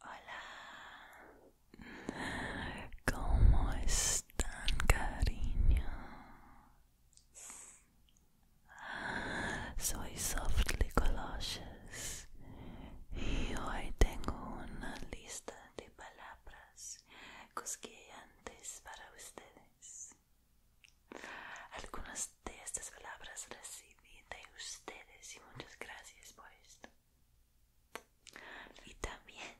Hola, ¿cómo están, cariño? Soy Softly Colossus y hoy tengo una lista de palabras cosquillantes para ustedes. Algunas de estas palabras recibí de ustedes y muchas gracias por esto. Y también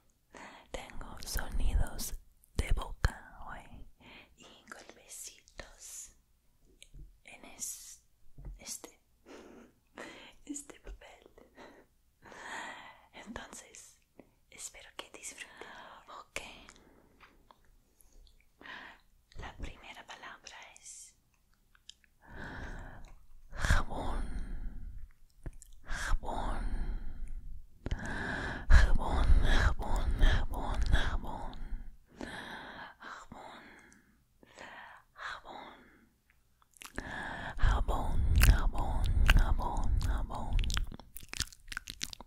tengo sonidos de boca hoy y golpecitos en este, este papel. Entonces, espero que disfruten. La primera palabra es jabón, jabón, jabón, jabón, jabón, jabón, jabón, jabón, jabón, jabón, jabón, jabón.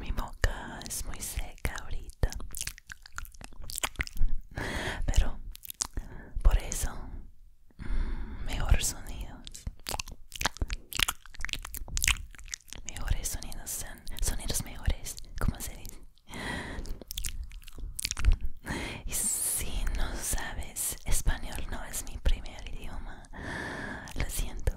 Mi boca es muy seca ahorita. Pero por eso mm, mejores sonidos. Mejores sonidos sonidos mejores, como se dice. Y si no sabes español no es mi primer idioma. Lo siento.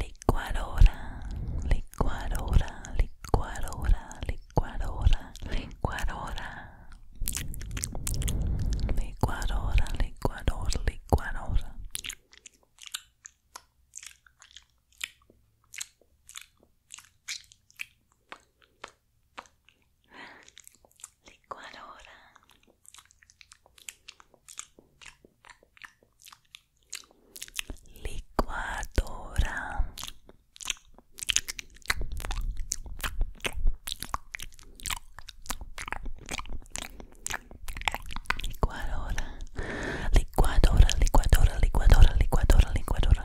licuadora, licuadora, licuadora, licuadora, licuadora, licuadora, licuadora, licuadora. Licuadora licuadora licuadora licuadora licuadora licuadora licuadora licuadora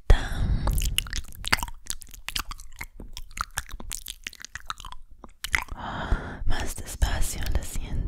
más despacio lo siento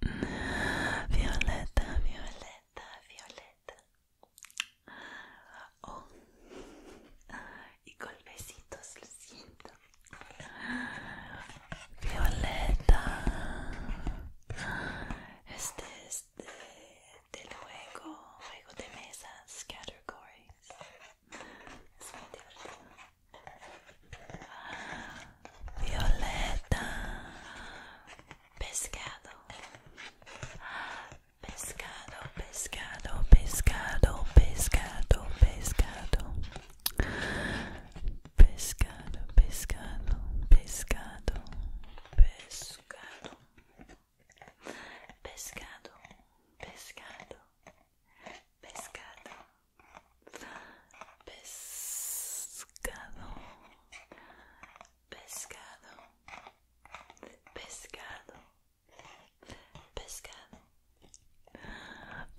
violeta, violeta, violeta, violeta. Oh. Y golpecitos, besitos lo siento. Violeta. Este es de, del juego, juego de mesa, Scattergories. Es muy divertido. violeta, pescado, pescado, pescado, pescado, pescado, pescado, pescado, pescado, pescado, pescado. Pescado, pescado, pescado, pescado, pescado, pescado, pescado, pescado,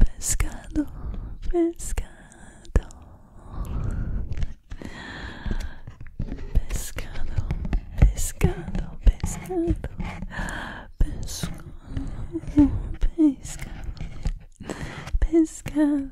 pescado, pescado, pescado, pescado. Pescado, pescado,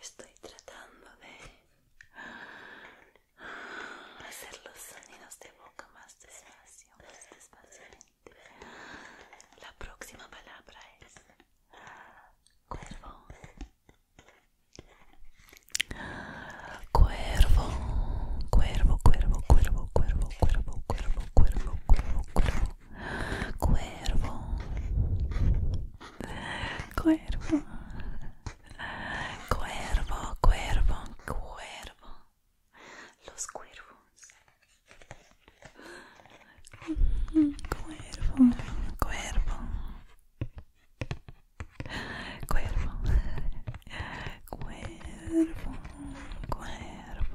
Estoy tratando de hacer los sonidos de boca más despacio, más despacio. La próxima palabra es cuervo. Cuervo, cuervo, cuervo, cuervo, cuervo, cuervo, cuervo, cuervo, cuervo, cuervo. Cuervo. Cuervo. Cuervo, cuervo, cuervo los cuervos. Cuervo, cuervo. Cuervo, cuervo, cuervo.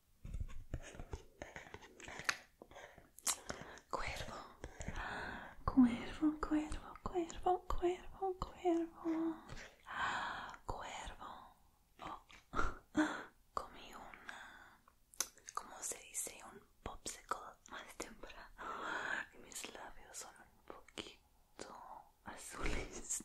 Cuervo, cuervo, cuervo, cuervo, cuervo, cuervo, cuervo. Oh. Comí una, como se dice? Un popsicle más temprano y mis labios son un poquito azules.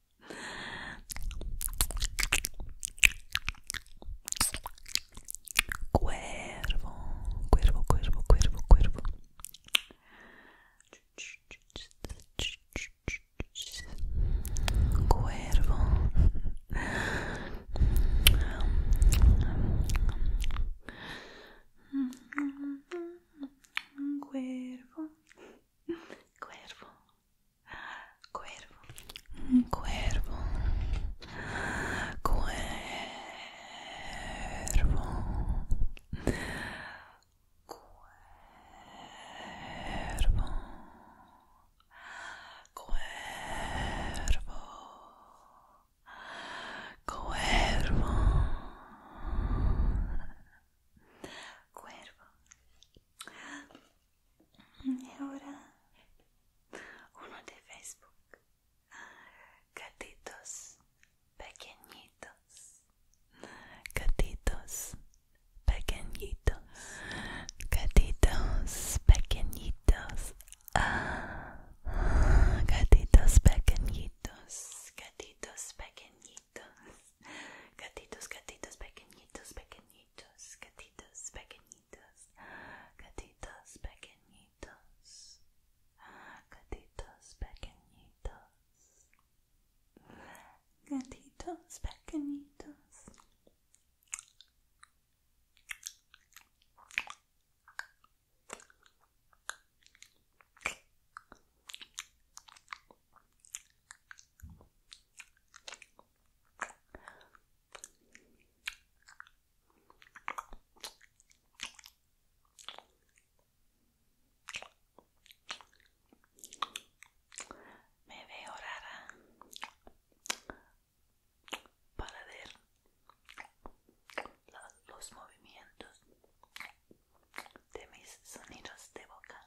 Cuervo, cuervo, cuervo, cuervo, cuervo. Cuervo. Cuervo. Cuervo. Cuervo. Cuervo. Cuervo. Cuervo. Cuervo. Cuervo. E uno de Facebook. Gatitos pequeñitos. Gatitos pequeñitos. Gatitos pequeñitos. Ah, gatitos pequeñitos. Gatitos pequeñitos. gatitos, gatitos, pequeñitos pequeñitos, pequeñitos, gatitos pequeñitos, gatitos pequeñitos, gatitos pequeñitos, gatitos pequeñitos. Me veo rara para ver los movimientos de mis sonidos de boca.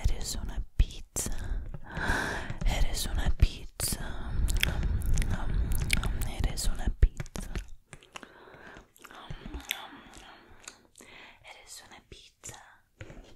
Eres una pizza, eres una pizza, eres una pizza, eres una pizza, eres una pizza.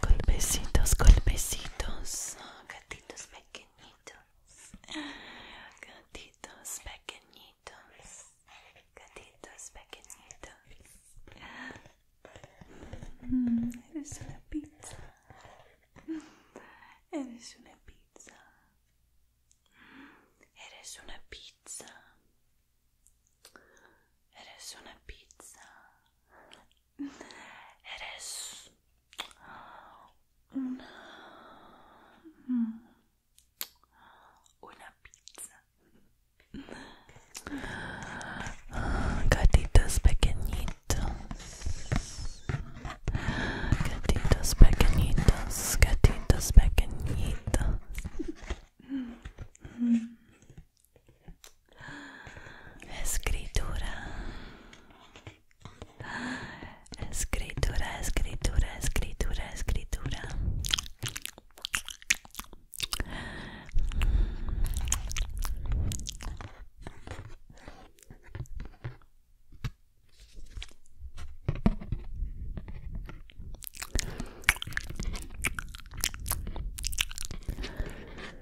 golpecitos, golpecitos, gatitos pequeñitos, gatitos pequeñitos, gatitos pequeñitos. Mm, eres una pizza, eres una pizza, eres una pizza. Eres una pizza. Eres una, una pizza. Gatitos pequeñitos. Gatitos pequeñitos. Gatitos pequeñitos. Escritura. Escritura, escritura, escritura, escritura.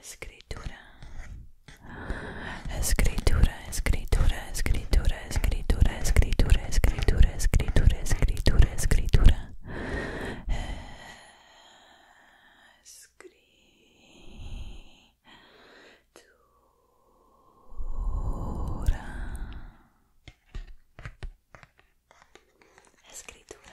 Escritura. Escritura, escritura, escritura, escritura, escritura, escritura, escritura, escritura, escritura. Escritura. Escritura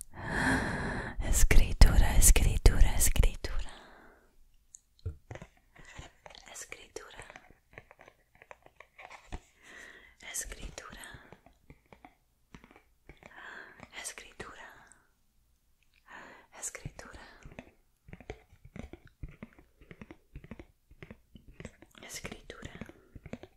Escritura, escritura, escritura. Escritura. Escritura. Escritura. Escritura. Escritura.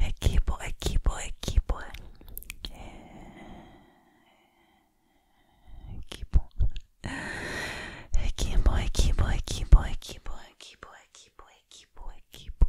equipo, equipo, equipo, equipo, equipo, equipo, equipo, equipo, equipo, equipo, equipo, equipo.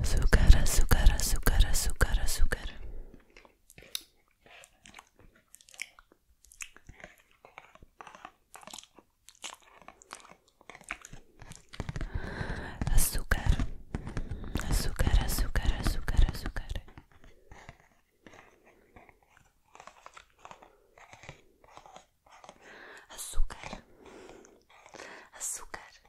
azúcar, azúcar, azúcar, azúcar, azúcar. Azúcar, azúcar, azúcar, azúcar, azúcar. Azúcar, azúcar,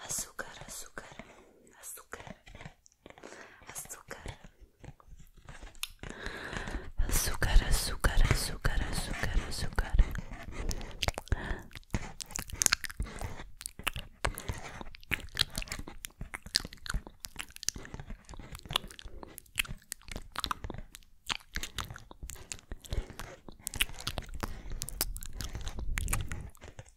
azúcar, azúcar, azúcar, azúcar, azúcar, azúcar, azúcar, azúcar, azúcar.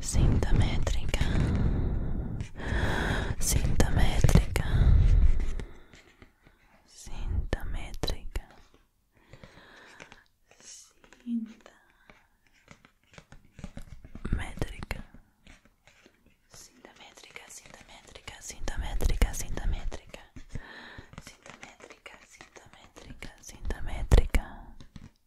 Cinta métrica, cinta métrica, cinta métrica, cinta métrica, cinta métrica, cinta métrica, cinta métrica, cinta métrica,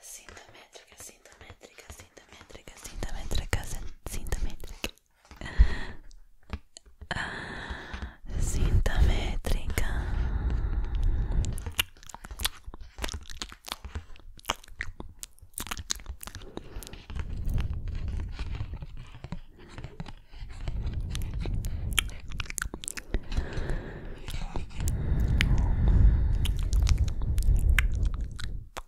Cinta métrica, cinta métrica, cinta métrica, cinta métrica, cinta métrica. Cinta métrica.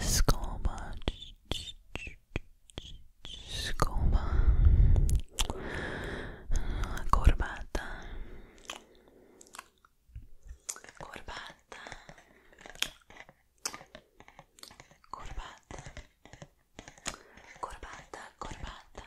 Scuba. Scuba. Corbata. Corbata. Corbata. Corbata, corbata.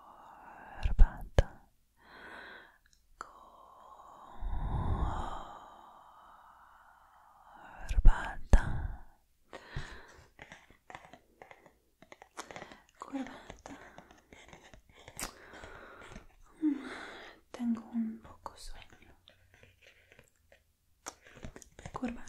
corbata, curvada Tengo un poco sueño. curvada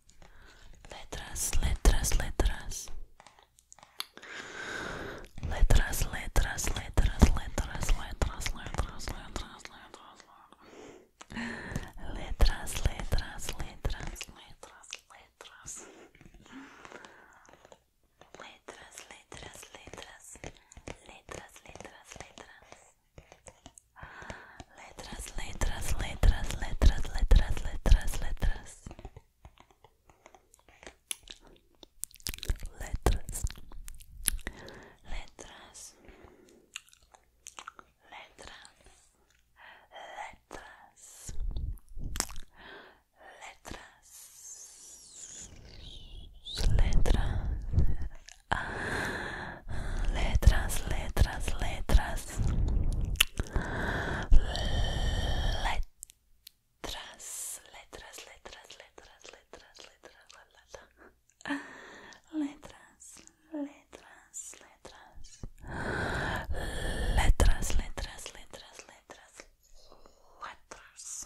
letras, letras, letras. Letras, letras, letras, letras, letras, letras, letras, letras, letras, letras, letras, letras, letras, letras, letras, letras, letras, letras, letras, Letras, letras, letras, letras, letras, letras, letras. Letras. Letras. Letras. Letras. Letras. Ah. Letras. Letras, letras, letras. letras, letras, letras, letras, letras, letras, letras, letras, letras, letras, letras, letras, letras, letras, letras, letras, letras, letras.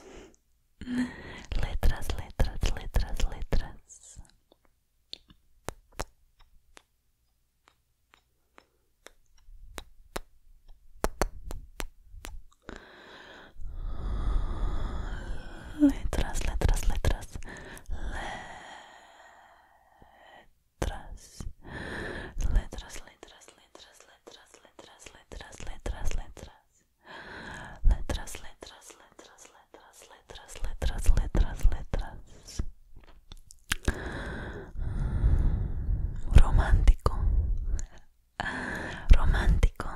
Letras, letras, letras, letras, letras, letras, letras, letras, letras, letras, letras, letras. Letras, letras, letras, letras, letras, letras, letras, letras. romántico romántico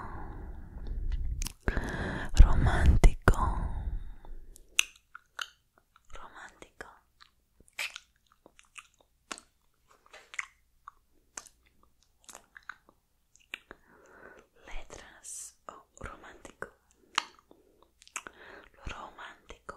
romántico romántico letras oh, romántico romántico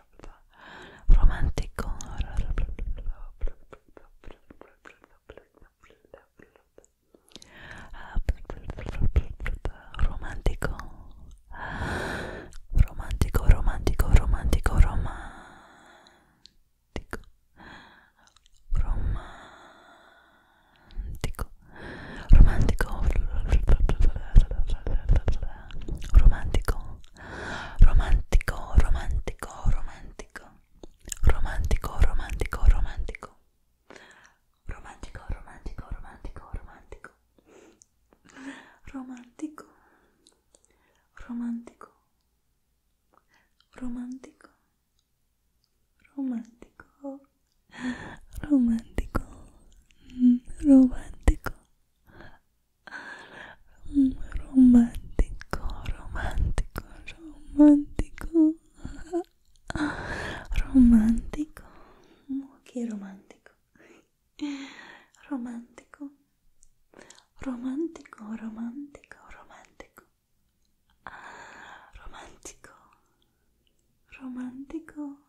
romantico romantico romantico romantico romantico romantico romantico romantico romantico, romantico, romantico, romantico, romantico, romantico, romantico, romantico, romantico, romantico, romantico, romantico, romantico, romantico, romantico, romantico. romántico, romántico, romántico, romántico, romántico, romántico, romántico, romántico, romántico, romántico, romántico.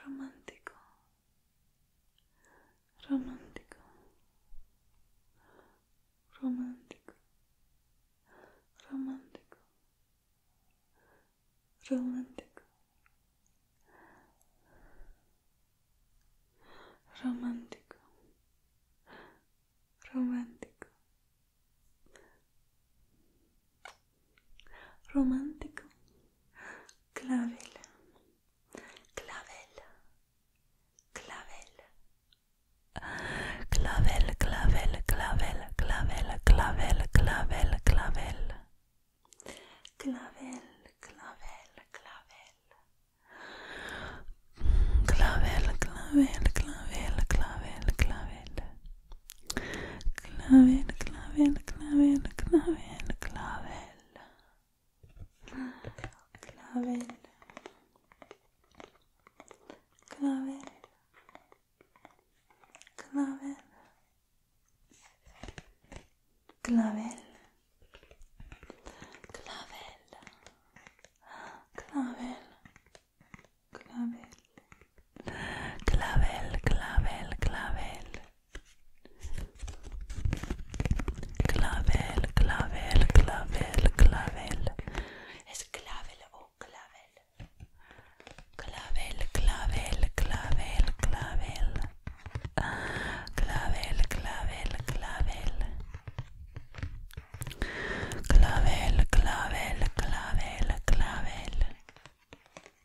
romántico, romántico, romántico, romántico, romántico, romántico, romántico romántico, clavela, Clavel Clavel clavel, clavel, clavel, clavel, clavel, clavel, clavel, clavel, clavel, clavel, clavel, clavel, clavel, clavel, clavel. Clavel, clavel, clavel, clavel, clavel. Clavel. Clavel. Clavel. Clavel. Clavel. Clavel. clavel, clavel, clavel, clavel, clavel, clavel, clavel, clavel, es clavel o clavel, clavel, clavel, clavel, clavel, clavel, clavel, clavel. Clavel, clavel, clavel, clavel.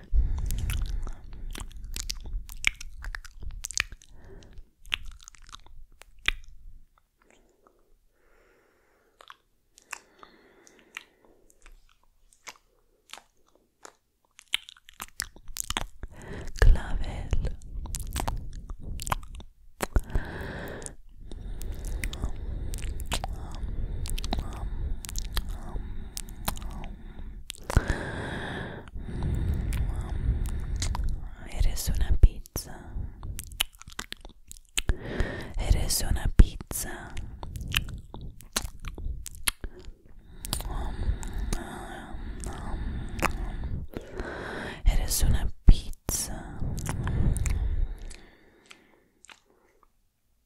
Clavel um, um, um, um, um. Mm, eres una pizza. Eres una pizza. Eres una pizza.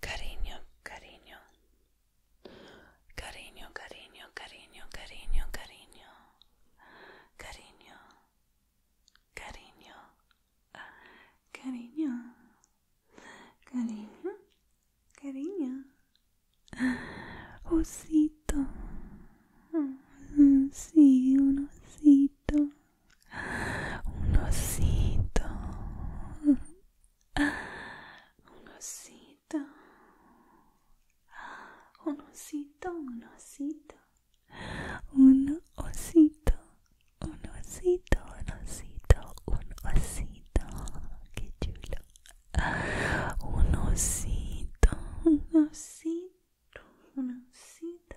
Cariño, cariño. Cariño, cariño, cariño, cariño, cariño. Cariño. Cariño. Ah, cariño. Cariño. Cariño. Osito. Ah, sí, un osito un osito, un osito, un osito, un osito, un osito, un osito, un osito, un osito, qué chulo, un osito, un osito, un osito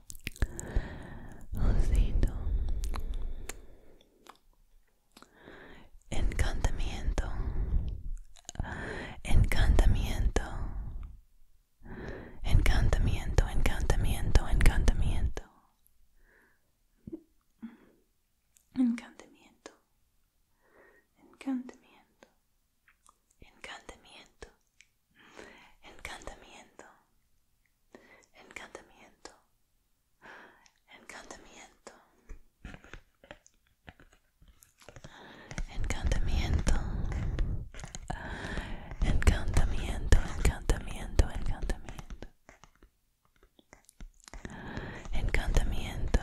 encantamiento, Encantamiento. Encantamiento. Encantamiento, encantamiento, encantamiento. Encantamiento. Encantamiento. Encantamiento encantamiento, encantamiento, encantamiento, encantamiento, encantamiento, encantamiento, encantamiento. Encantamiento.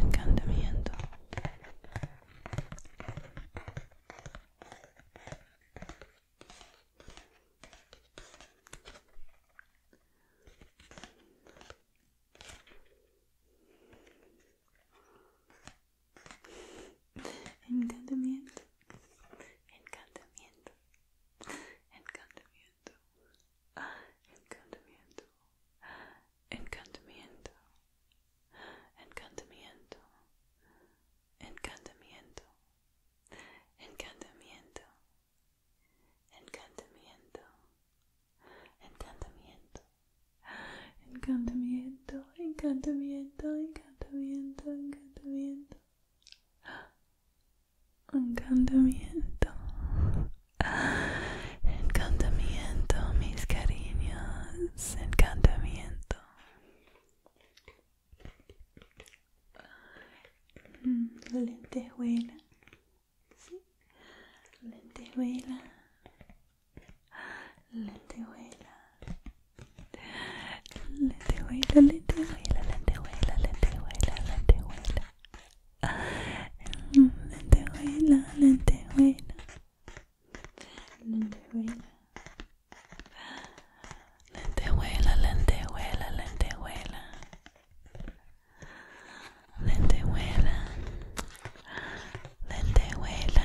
encantamiento encantamiento encantamiento encantamiento encantamiento, encantamiento, encantamiento, encantamiento, encantamiento, encantamiento, encantamiento, encantamiento, encantamiento, encantamiento, encantamiento, encantamiento encantamiento encantamiento mis cariños encantamiento mm, lentejuela lente lentejuela lentejuela lentejuela lentejuela lentejuela lentejuela lentejuela lentejuela, Lente lenteuela, lente lenteuela, Lente lenteuela, lente lenteuela, lente huela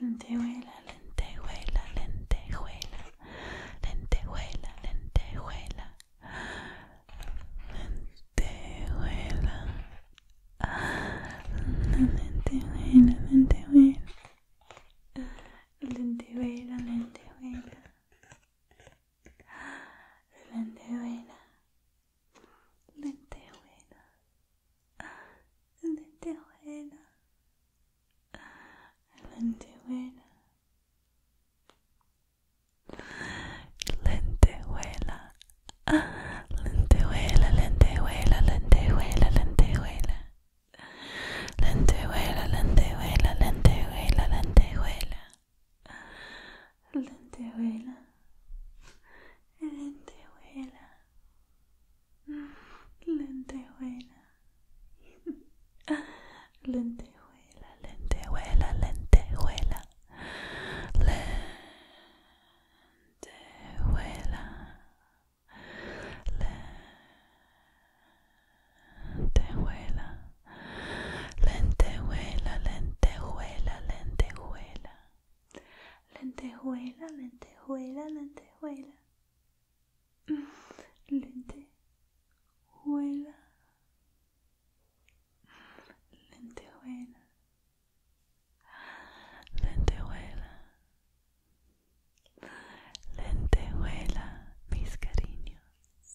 lentejuela, lentejuela, lentejuela, lentejuela, lentejuela, lentejuela, lentejuela, lentejuela, lentejuela, lentejuela, lentejuela, lentejuela, lentejuela lenteuela lenteuela lenteuela lenteuela lentejuela, lentejuela, lenteuela lenteuela lenteuela lentejuela, Lente Huela. Lentejuela. Lentejuela, lentejuela, lentejuela. Lentejuela. Lentejuela. Lentejuela, lentejuela, lentejuela. Lentejuela, lentejuela, lentejuela. Lente lente lente lentejuela, lente lentejuela, mis cariños.